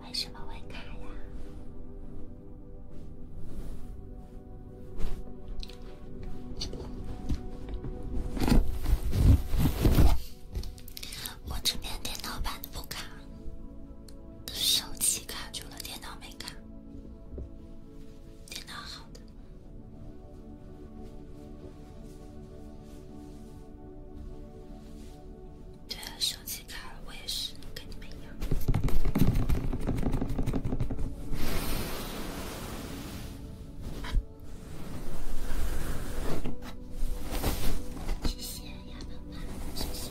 为什么会卡呀？我这边电脑版的不卡，都是手机卡住了，电脑没卡，电脑好的。对，啊，手机卡了，我也是，跟你们一样。谢谢丫蛋爸，谢谢。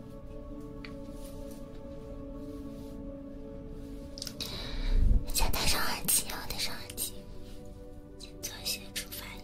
先戴上耳机，戴上耳机，先做一些触发音。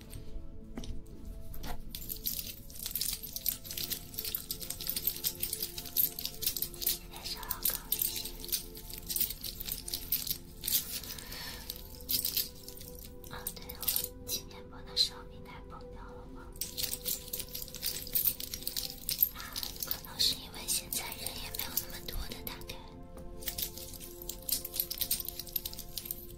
小老公，啊，对，我今天播的时候平台崩掉了吗？可能是因为现在人也没有那么多的，大概。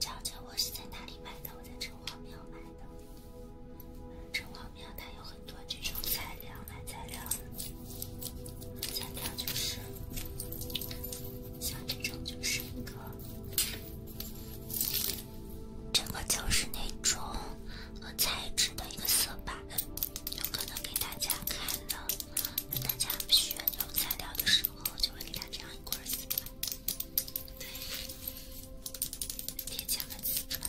瞧瞧，我是在哪里买的？我在城隍庙买的。城隍庙它有很多这种材料，买材料。材料就是像这种，就是一个这个就是那种。和材质的一个色板，有可能给大家看了。大家选这种材料的时候，就会给他这样一块色板，对，贴墙的色板。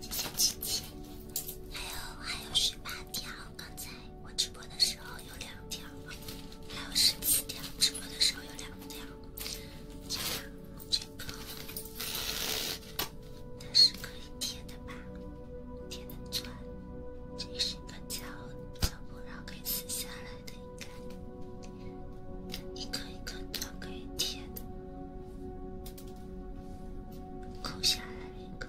谢谢琪琪，还有还有十八条。刚才我直播的时候。有两条，还有十七条。直播的时候有两条。这个，它是可以贴的吧？贴的钻，这是一个角，角部，然后可以撕下来的，应该一颗一颗钻可以贴的，扣下来一个。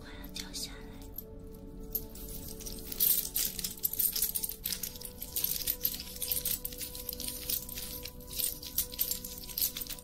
我要掉下来。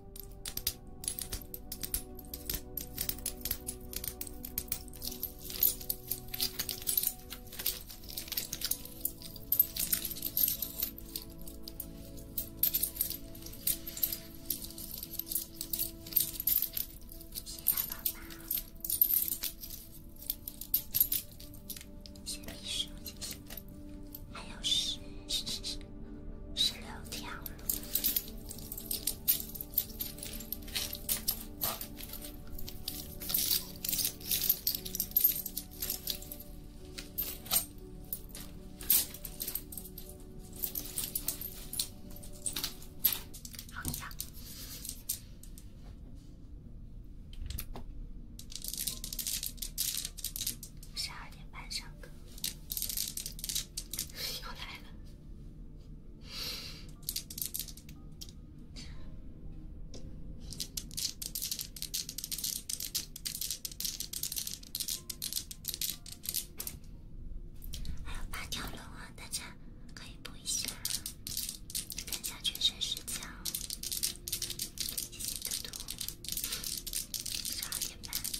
谢谢爸爸，谢谢医生姐姐，还有十十十十六条。好呀，十二点半上课，又来了。还有八条龙啊，大家可以补一下，看一下全身是墙。谢谢嘟嘟，十二点半。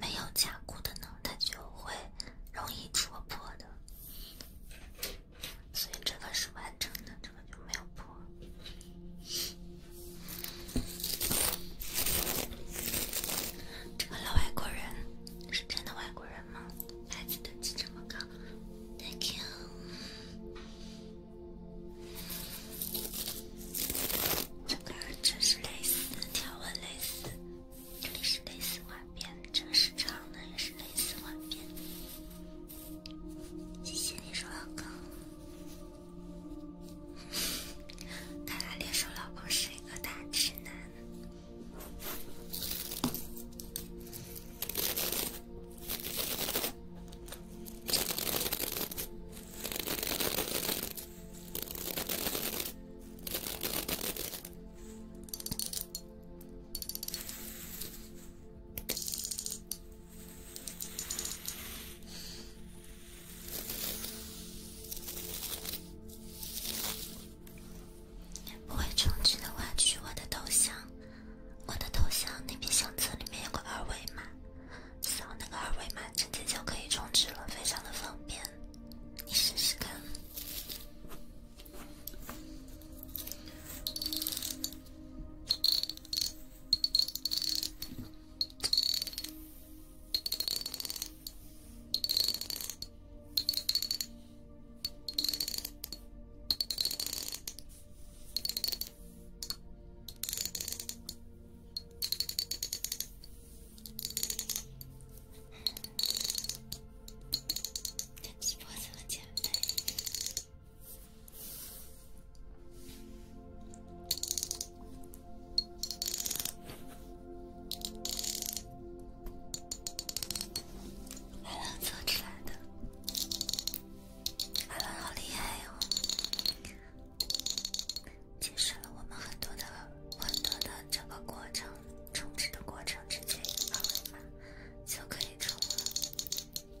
没有加固的呢，它就会容易戳破的。所以这个是完整的，这个就没有破。这个老外国人是真的外国人吗？牌子堆起这么高，Thank you。这个这是蕾丝条纹蕾丝，这里是蕾丝花边，这个是长的也是蕾丝花边。谢谢猎手老公。看来猎手老公是一个大吃男。不会充值的话，去我的头像，我的头像那边相册里面有个二维码，扫那个二维码直接就可以充值了，非常的方便，你试试看。这直播怎么减肥？还能做出来的，还能好厉害哦！节省了我们很多的、很多的这个过程，充值的过程直接一二维码就可以充了。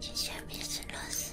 谢谢来是老师。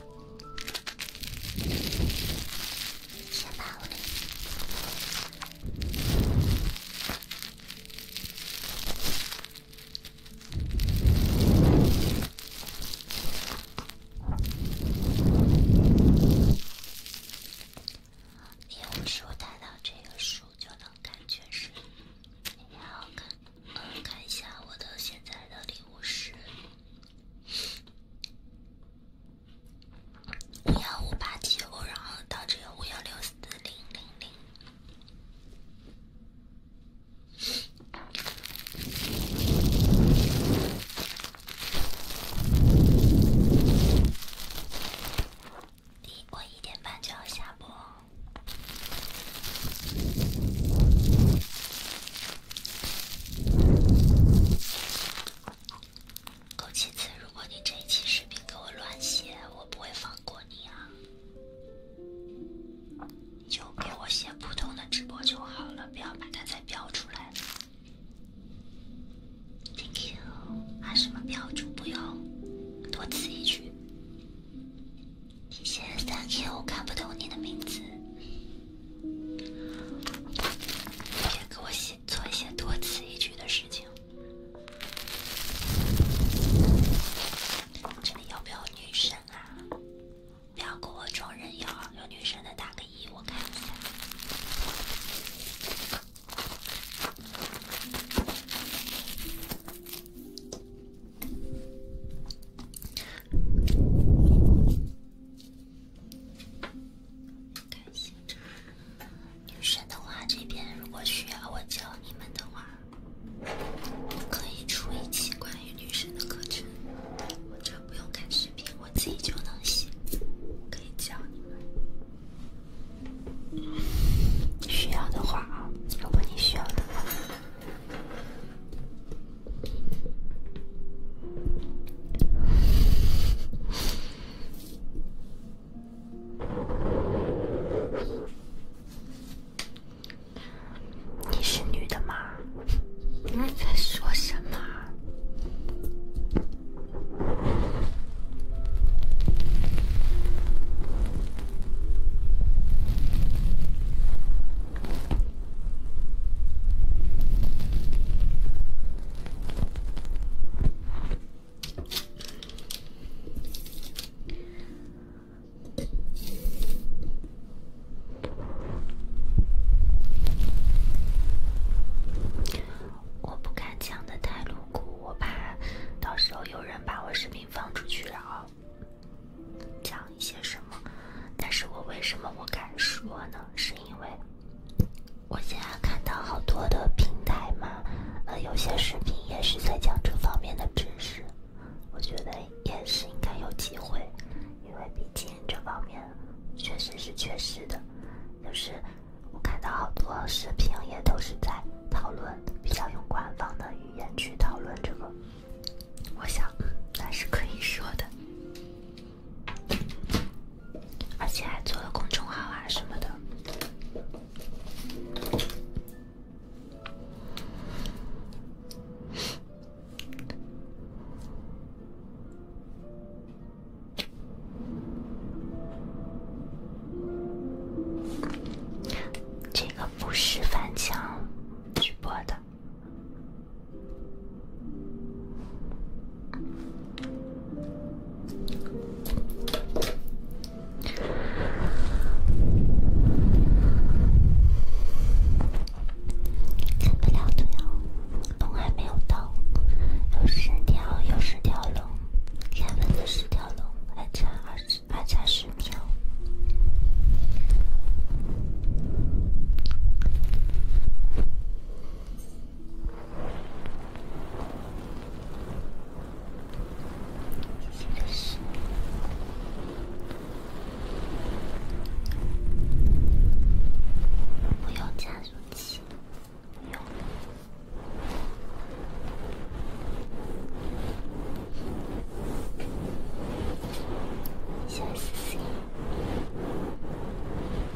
先把我的礼物树带到这个树，就能感觉是也好看。看一下我的现在的礼物是。五幺五八七五，然后到这个五幺六四零零零。我一点半就要下播。枸杞子，如果你这一期视频给我乱写，我不会放过你啊！你就给我写普通的直播就好了，不要把它再标出来。Thank you，啊什么标注不用，多此一举。谢谢，thank you。我看不懂你的名字。别给我写，做一些多此一举的事情。这里要不要女生啊？不要给我装人妖，有女生的打个一，我看一下。开心。女生的话，这边如果需要我教你们的话，可以出一期关于女生的课程，或者不用看视频，我自己就能写，可以教你们。需要的话啊，如果你需要的话。你是女的吗？你在说什么？我不敢讲的太露骨，我怕到时候有人把我视频放出去，然后讲一些什么。但是我为什么我敢说呢？是因为。我现在看到好多的平台嘛，呃，有些视频也是在讲这方面的知识，我觉得也是应该有机会，因为毕竟这方面确实是缺失的。就是我看到好多视频也都是在讨论，比较用官方的语言去讨论这个，我想那是可以说的。而且还做了公众号啊什么的。这个不是翻墙直播的。开不了头，龙还没有到，有十条，有十条龙，开完的十条龙还差二十，还差十条。不用加速器，不用。笑死死。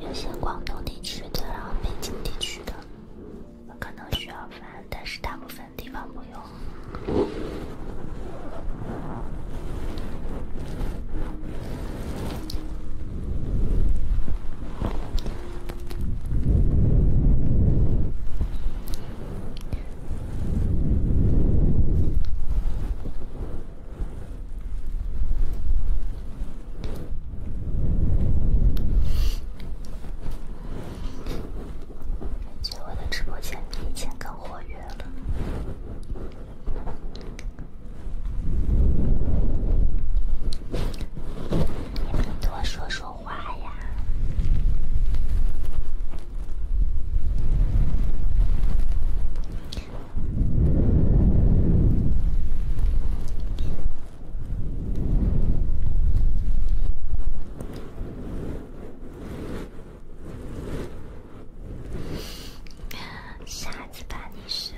有些广东地区的，然后北京地区的，可能需要翻，但是大部分地方不用。感觉我的直播间比以前更活跃了，你们多说说话呀。傻子吧？你湿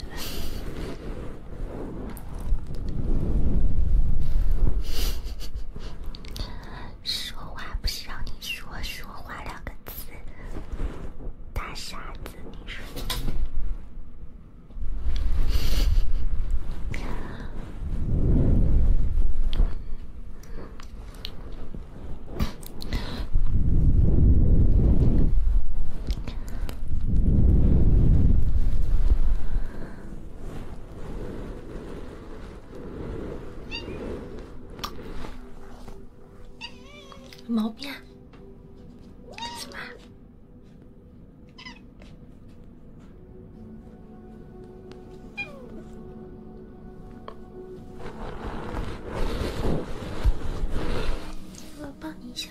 说话不是让你说说。我画两个字，大傻子，你说？毛病？怎么？我帮一下。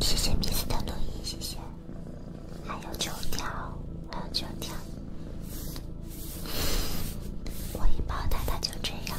谢谢彼此的录音，谢谢。还有九条，还有九条。我一抱他，他就这样。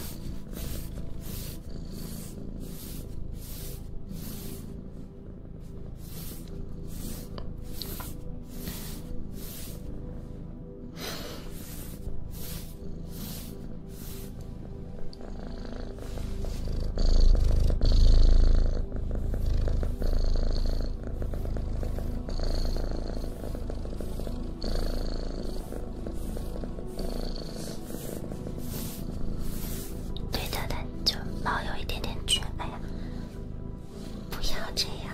对的，但就毛有一点点卷。哎呀，不要这样。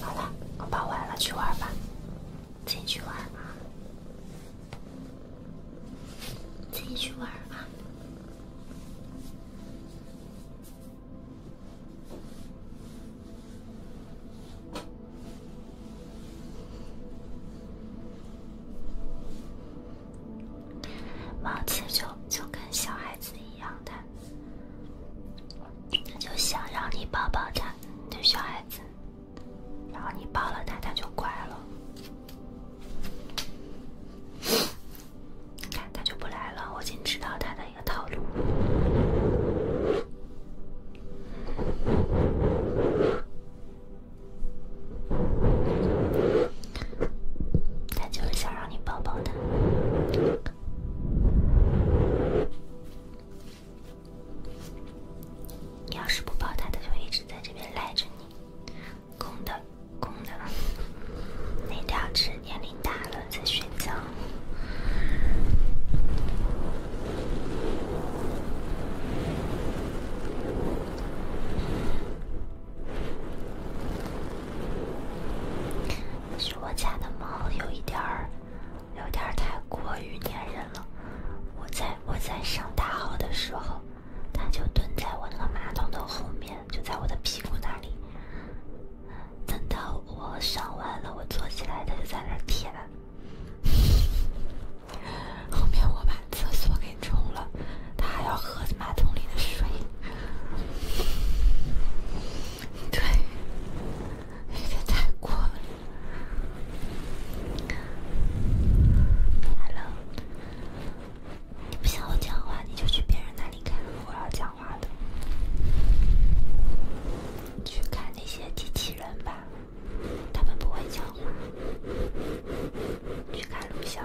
好了，我跑完了，去玩吧，自己去玩啊，自己去玩啊，毛钱就就跟小孩子一样的。他就想让你抱抱他，就小孩子，然后你抱了他，他就乖了。看，他就不来了。我已经知道他的一个套路。他就是想让你抱抱他。你要是不抱他，他就一直在这边赖着你。公的，公的，那两只年龄大了在睡觉。是我家的猫有一点儿，有点儿太过于粘人了。我在我在上大号的时候，它就蹲在我那个马桶的后面，就在我的屁股那里。等到我上完了，我坐起来，它就在那舔。后面我把厕所给冲了，它还要喝马桶里的水。对，有太过了。Hello，你不想我讲话，你就去别人那里看。我要讲话的，去看那些机器人吧，他们不会讲话。去看录像。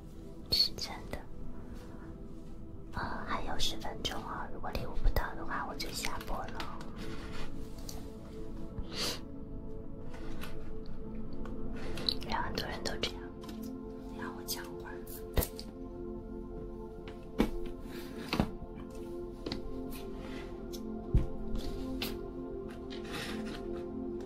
是真的，呃，还有十分钟啊！如果礼物不到的话，我就下播了。让很多人都这样，让我讲话。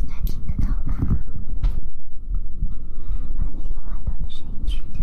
应该听得到吧？把那个外头的声音去掉。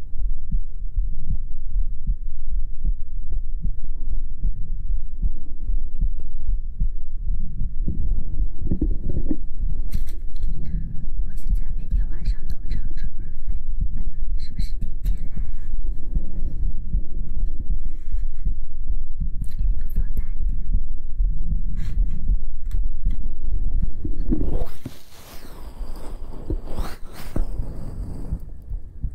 我现在每天晚上都乘虫而飞，是不是提前来了？放大一点。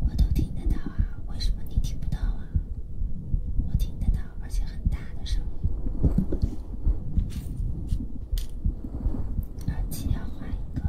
我都听得到啊，为什么你听不到啊？我听得到，而且很大的声音。耳机要换一个。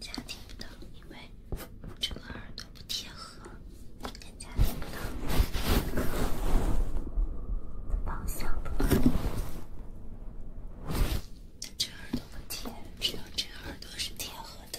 家听不到，因为这个耳朵不贴合，家听不到，方向不对，这耳朵不贴，只有这耳朵是贴合的。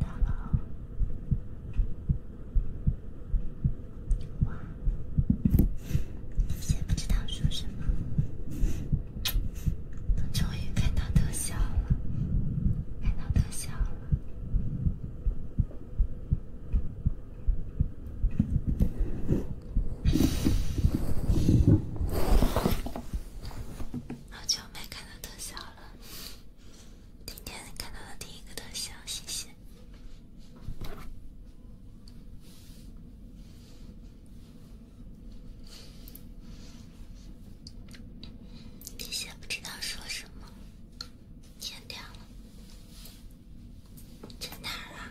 大佬，哇！先不知道说什么，我终于看到特效了，看到特效了。好久没看到特效了，今天看到的第一个特效，谢谢。谢谢，不知道说什么。天亮了，这哪儿啊？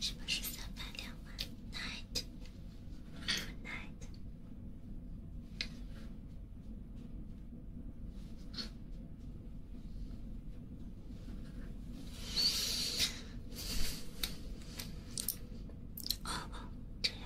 是不是三百两万？Night，good night。哦哦，这样。